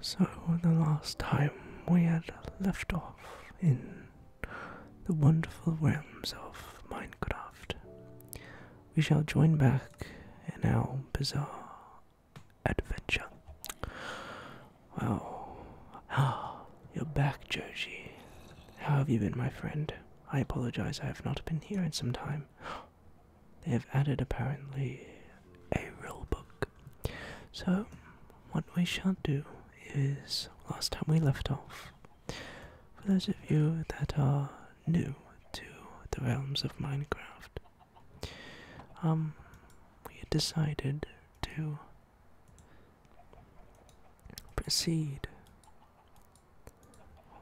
So, the last time we had left off in the wonderful realms of Minecraft, we shall join back in our bizarre adventure. Wow. Ah, you're back, Joji. How have you been, my friend? I apologize, I have not been here in some time they have added apparently a rule book. So, what we shall do is last time we left off. For those of you that are new to the realms of Minecraft, um, we decided to proceed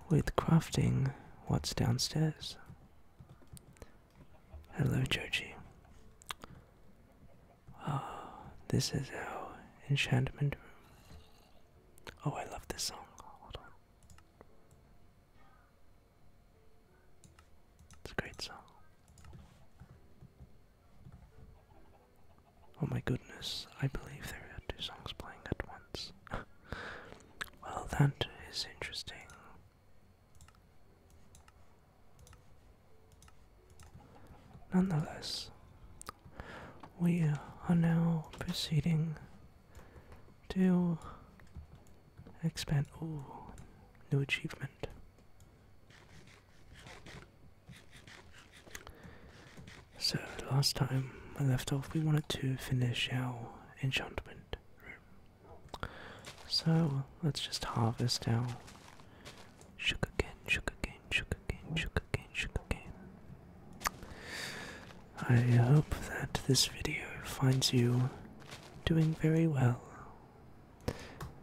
with crafting what's downstairs. Hello, Georgie. Oh, ah, this is our enchantment room. Oh, I love this song. It's a great song. Oh my goodness, I believe there are two songs playing at once. well, that is interesting. Nonetheless, we are now proceeding to expand. Ooh, new achievement. So, last time I left off, we wanted to finish our enchantment room. So let's just harvest our sugarcane, sugarcane, sugarcane, sugarcane, sugarcane. I hope that this video finds you doing very well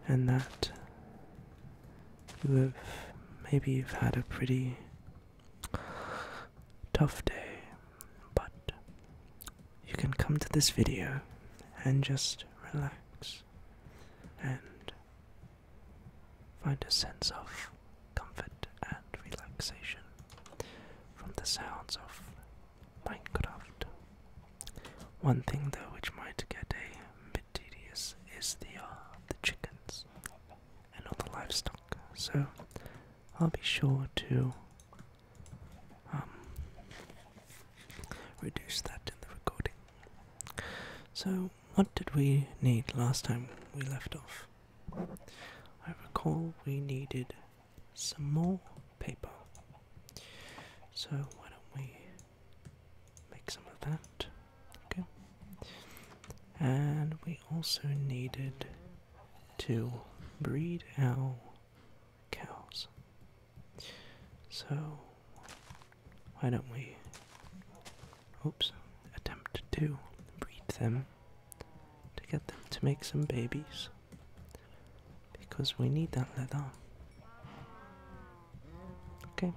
and that you have maybe you've had a pretty tough day, but you can come to this video and just relax and find a sense of comfort and relaxation from the sounds of Minecraft. One thing though which might get a bit tedious is the uh, the chickens and all the livestock. So I'll be sure to um, reduce that in the recording. So, what did we need last time we left off? I recall we needed some more paper. So, why don't we make some of that? Okay. And we also needed to breed owl cows. So, why don't we, oops, attempt to breed them to get them to make some babies because we need that leather. Okay.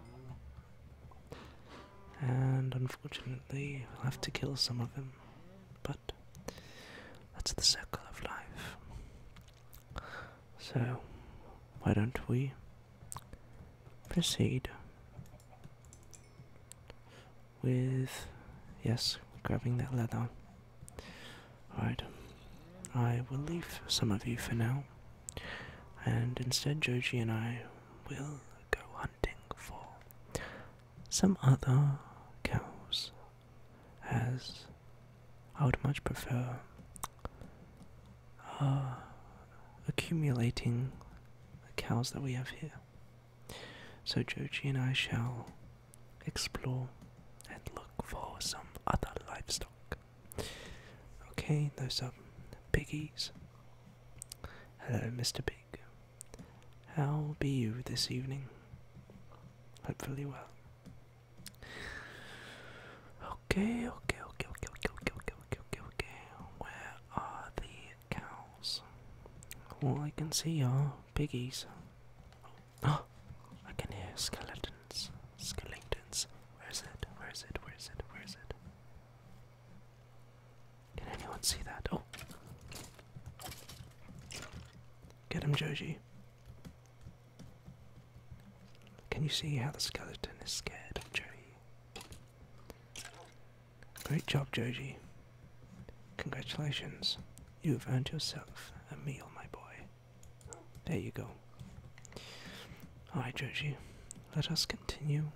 And unfortunately, I'll have to kill some of them, but that's the circle of life. So, why don't we proceed with, yes, grabbing that leather. Alright, I will leave some of you for now, and instead Joji and I will go hunting for some other cows, as I would much prefer are uh, accumulating the cows that we have here. So Joji and I shall explore and look for some other livestock. Okay, those are piggies. Hello, Mr. Pig. How be you this evening? Hopefully well. Okay, okay, okay, okay, okay, okay, okay, okay, okay, okay. Where are the cows? All I can see are piggies. Oh, I can hear skeletons. Skeletons. Where is it? Where is it? Where is it? Where is it? Can anyone see that? Oh. Get him, Joji. Can you see how the skeleton is scared Joji? Great job, Joji. Congratulations. You have earned yourself a meal, my boy. There you go. Alright, Joji. Let us continue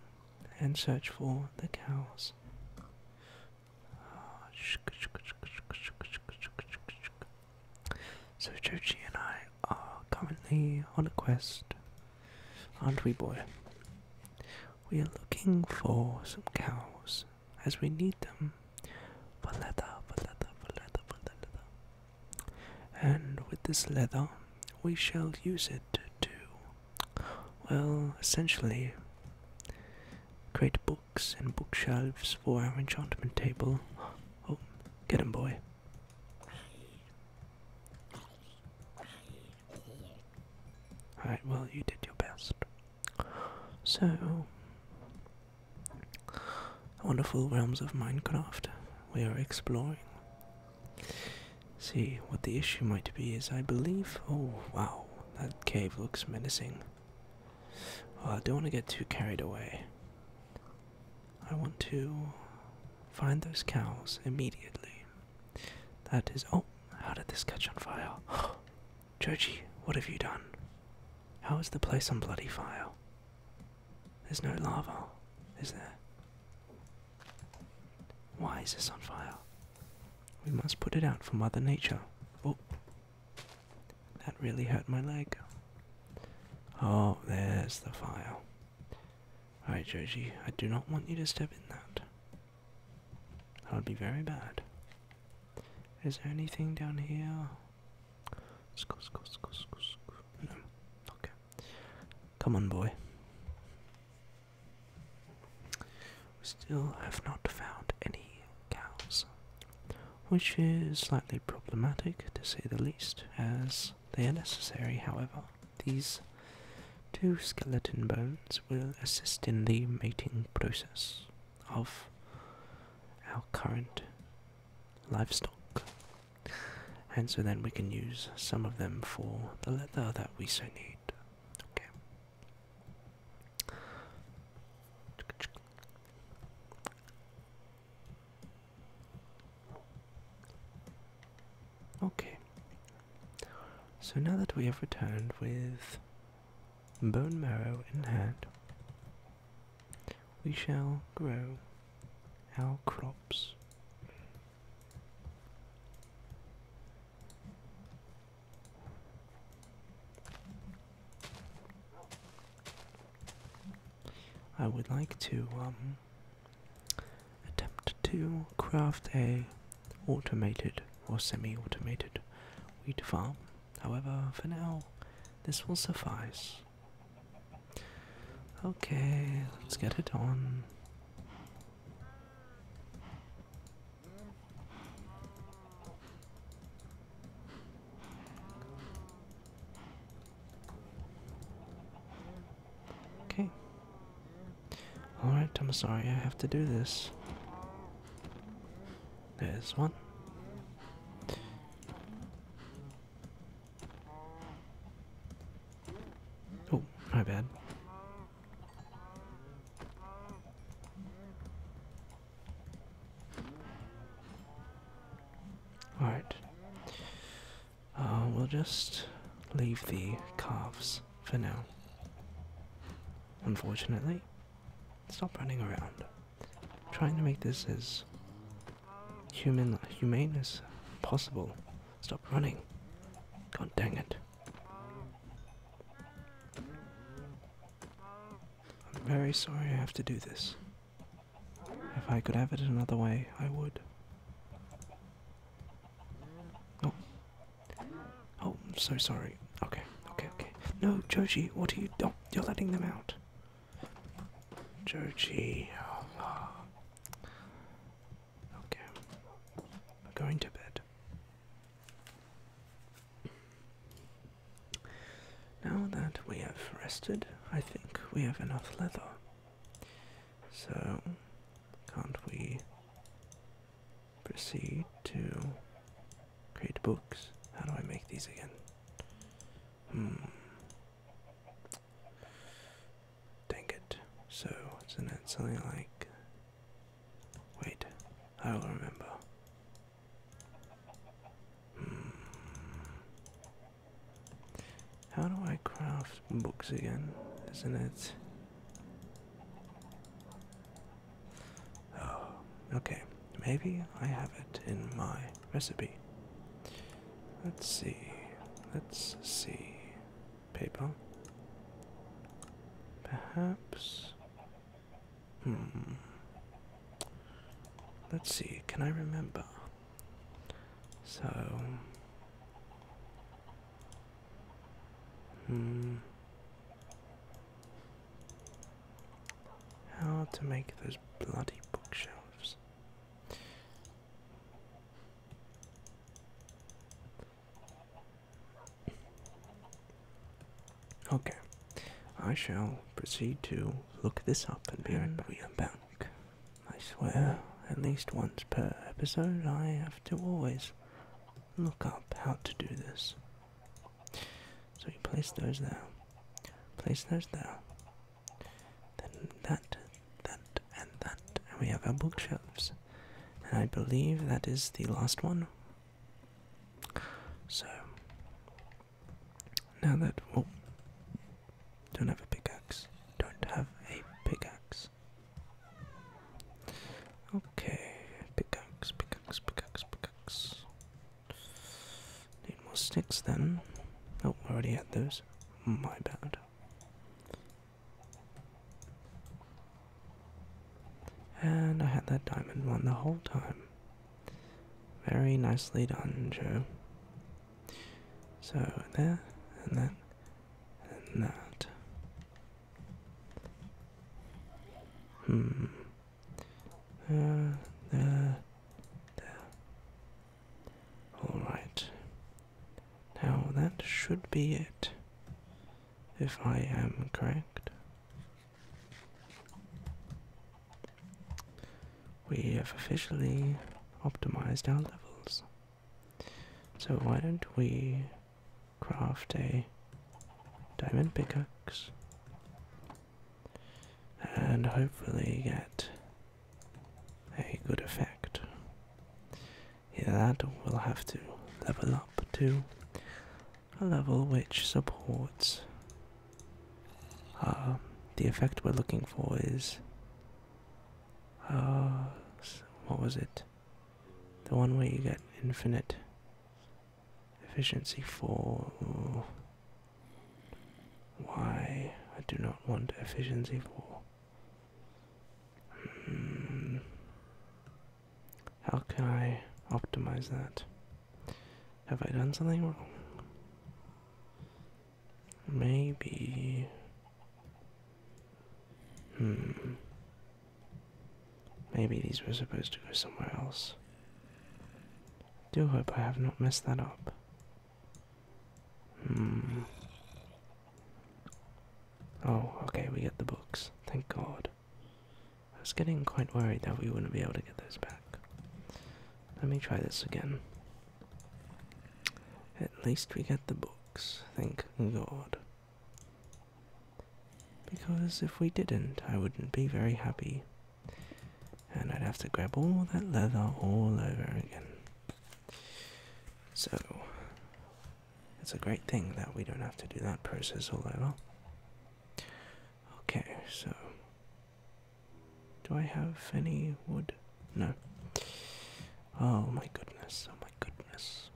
and search for the cows. So Joji and I are currently on a quest, aren't we, boy? We are looking for some cows, as we need them for leather, for leather, for leather, for leather. And with this leather, we shall use it to well, essentially, create books and bookshelves for our enchantment table. Oh, get him, boy. Alright, well, you did your best. So, wonderful realms of Minecraft we are exploring. See, what the issue might be is I believe. Oh, wow, that cave looks menacing. I don't want to get too carried away. I want to find those cows immediately. That is. Oh, how did this catch on fire? Georgie, what have you done? How is the place on bloody fire? There's no lava, is there? Why is this on fire? We must put it out for Mother Nature. Oh, that really hurt my leg. Oh, there's the fire. Alright, Joji, I do not want you to step in that. That would be very bad. Is there anything down here? No. Okay. Come on, boy. We Still have not found any cows, which is slightly problematic to say the least, as they are necessary, however. These two skeleton bones will assist in the mating process of our current livestock. And so then we can use some of them for the leather that we so need. Okay. Okay. So now that we have returned with bone marrow in hand, we shall grow our crops. I would like to um, attempt to craft a automated or semi-automated wheat farm. However, for now, this will suffice. Okay, let's get it on. Okay. Alright, I'm sorry I have to do this. There's one. Oh, my bad. Alright. Uh, we'll just leave the calves for now. Unfortunately, stop running around. trying to make this as human humane as possible. Stop running. God dang it. I'm very sorry I have to do this. If I could have it another way, I would. Oh. Oh, I'm so sorry. Okay, okay, okay. No, Joji, what are you. Oh, you're letting them out. Joji. Oh. Okay, i going to bed. Now that we have rested, I think we have enough leather. So, can't we proceed to create books? How do I make these again? Hmm. Dang it. So, isn't it something like Wait, I will remember. Hmm. How do I craft books again? Isn't it? Oh, okay. Maybe I have it in my recipe. Let's see. Let's see paper. Perhaps. Hmm. Let's see, can I remember? So. Hmm. How to make those bloody bookshelves. Okay, I shall proceed to look this up and be right back. We are back. I swear, at least once per episode, I have to always look up how to do this. So you place those there, place those there, then that, that, and that, and we have our bookshelves and I believe that is the last one. So now that oh, don't have a pickaxe, don't have a pickaxe. Okay, pickaxe, pickaxe, pickaxe, pickaxe. Need more sticks then. Oh, already had those. My bad. And I had that diamond one the whole time. Very nicely done, Joe. So there, and then, and that. Hmm. Uh, there, there. Alright. Now that should be it if I am correct. We have officially optimized our levels. So why don't we craft a diamond pickaxe and hopefully get a good effect yeah, that will have to level up to a level which supports uh, the effect we're looking for is uh, what was it? The one where you get infinite efficiency for why I do not want efficiency for Hmm. How can I optimize that? Have I done something wrong? Maybe. Hmm. Maybe these were supposed to go somewhere else. Do hope I have not messed that up. Hmm. Oh, okay, we get the books. Thank God. I was getting quite worried that we wouldn't be able to get those back. Let me try this again. At least we get the books. Thank God. Because if we didn't, I wouldn't be very happy. And I'd have to grab all that leather all over again. So, it's a great thing that we don't have to do that process all over. Okay, so. Do I have any wood? No. Oh my goodness, oh my goodness.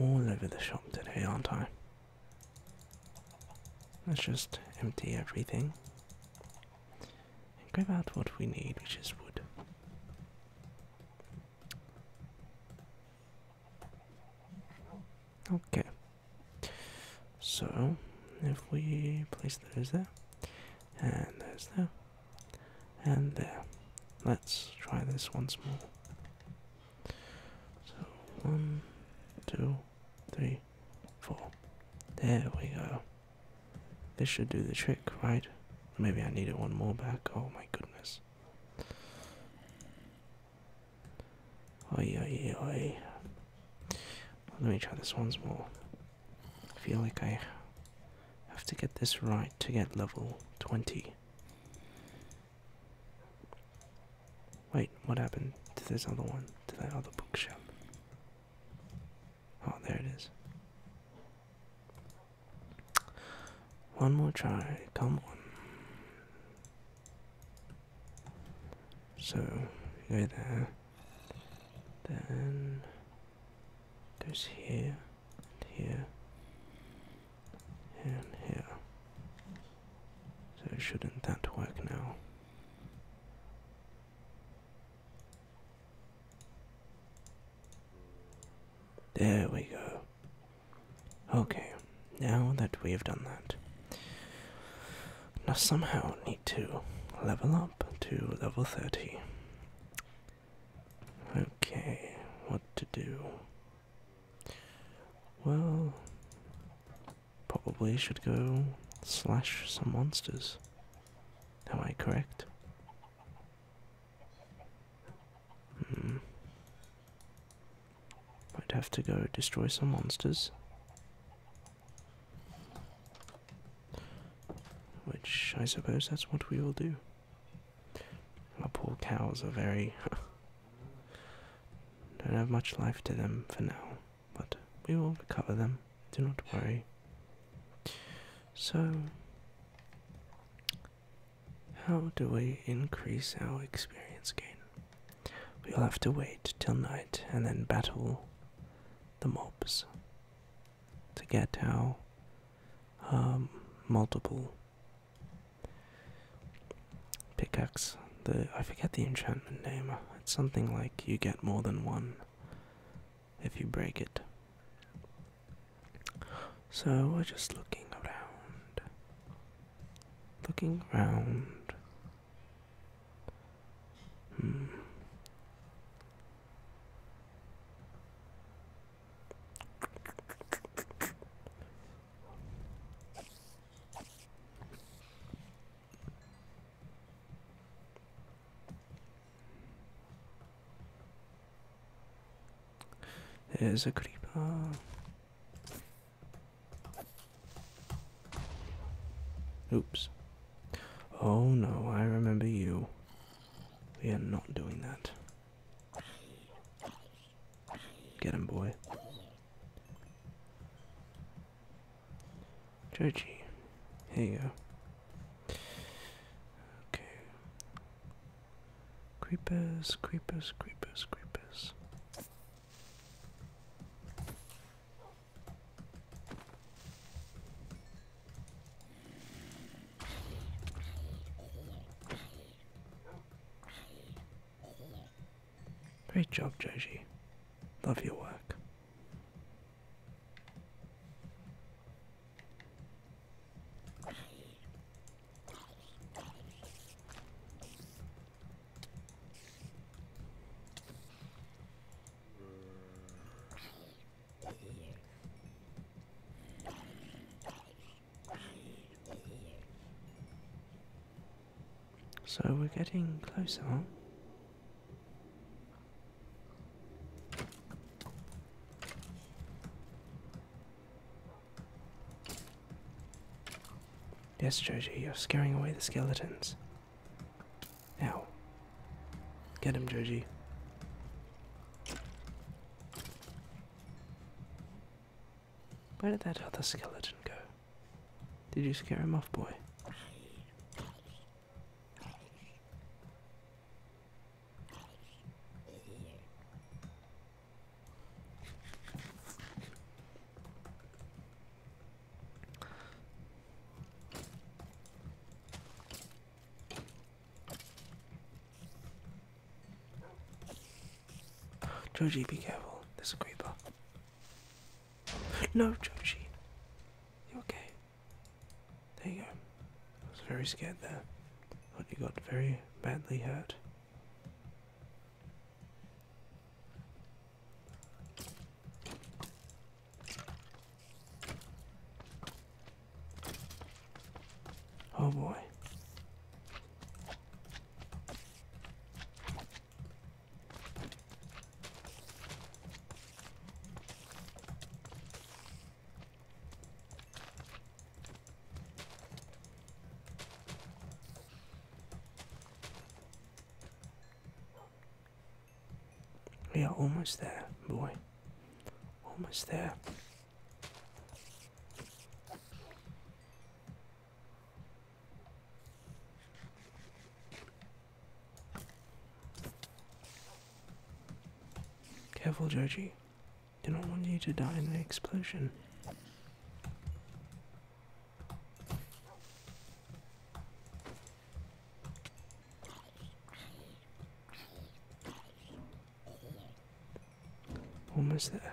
All over the shop today, aren't I? Let's just empty everything and grab out what we need, which is wood. Okay. So, if we place those there, and those there, and there. Let's try this once more. So, one, two, three, four. There we go. This should do the trick, right? Maybe I need it one more back. Oh my goodness. Oh yeah, oi, yeah. Let me try this once more. I feel like I have to get this right to get level 20. Wait, what happened to this other one? To that other bookshelf? Oh, there it is. One more try. Come on. So, go there. Then goes here, and here, and here. So shouldn't that work now? There we go. Okay, now that we have done that, now somehow need to level up to level 30. Okay, what to do? Well, probably should go slash some monsters. Am I correct? Hmm. Might have to go destroy some monsters. Which I suppose that's what we all do. Our poor cows are very. don't have much life to them for now, but we will recover them. Do not worry. So, how do we increase our experience gain? We'll have to wait till night and then battle the mobs to get our um, multiple pickaxe. The I forget the enchantment name. It's something like you get more than one if you break it. So we're just looking around, looking around. Hmm. There's a creeper. Oops. Oh no, I remember you. We are not doing that. Get him, boy. Joji, here you go. Okay. Creepers, creepers, creepers, creepers. Great job, Joji. Love your work. So we're getting closer, Yes, Joji, you're scaring away the skeletons. Now, get him, Joji. Where did that other skeleton go? Did you scare him off, boy? Joji, be careful. There's a creeper. No, Joji. You okay? There you go. I was very scared there. But you got very badly hurt. Oh boy. We are almost there, boy. Almost there. Careful, Joji. Do not want you to die in an explosion. Almost there.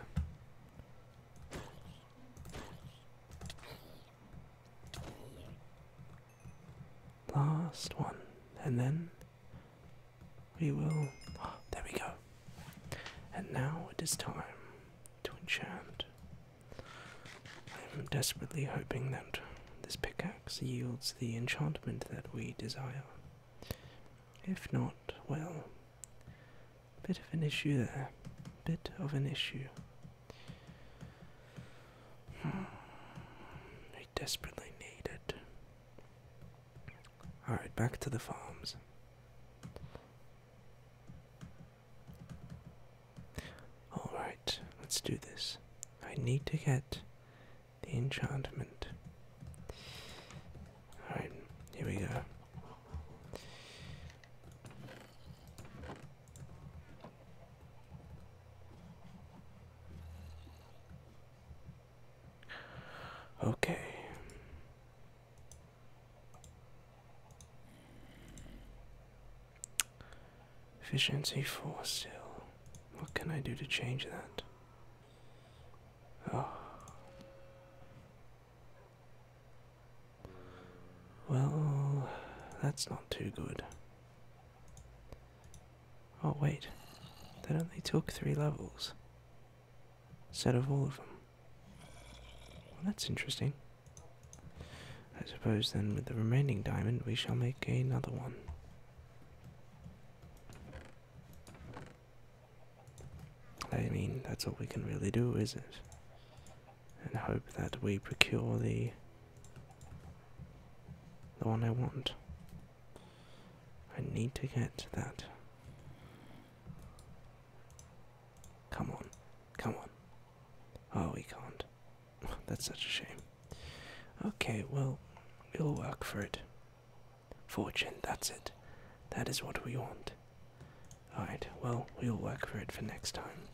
Last one, and then we will. there we go. And now it is time to enchant. I am desperately hoping that this pickaxe yields the enchantment that we desire. If not, well, bit of an issue there. Bit of an issue. I hmm. desperately need it. Alright, back to the farms. Alright, let's do this. I need to get the enchantment. Alright, here we go. Okay. Efficiency 4 still. What can I do to change that? Oh. Well, that's not too good. Oh, wait. That only took three levels. Instead of all of them. Well, that's interesting. I suppose then with the remaining diamond we shall make another one. I mean, that's all we can really do, is it? And hope that we procure the the one I want. I need to get that. Come on. Come on. Oh, we can't. That's such a shame. Okay, well, we'll work for it. Fortune, that's it. That is what we want. Alright, well, we'll work for it for next time.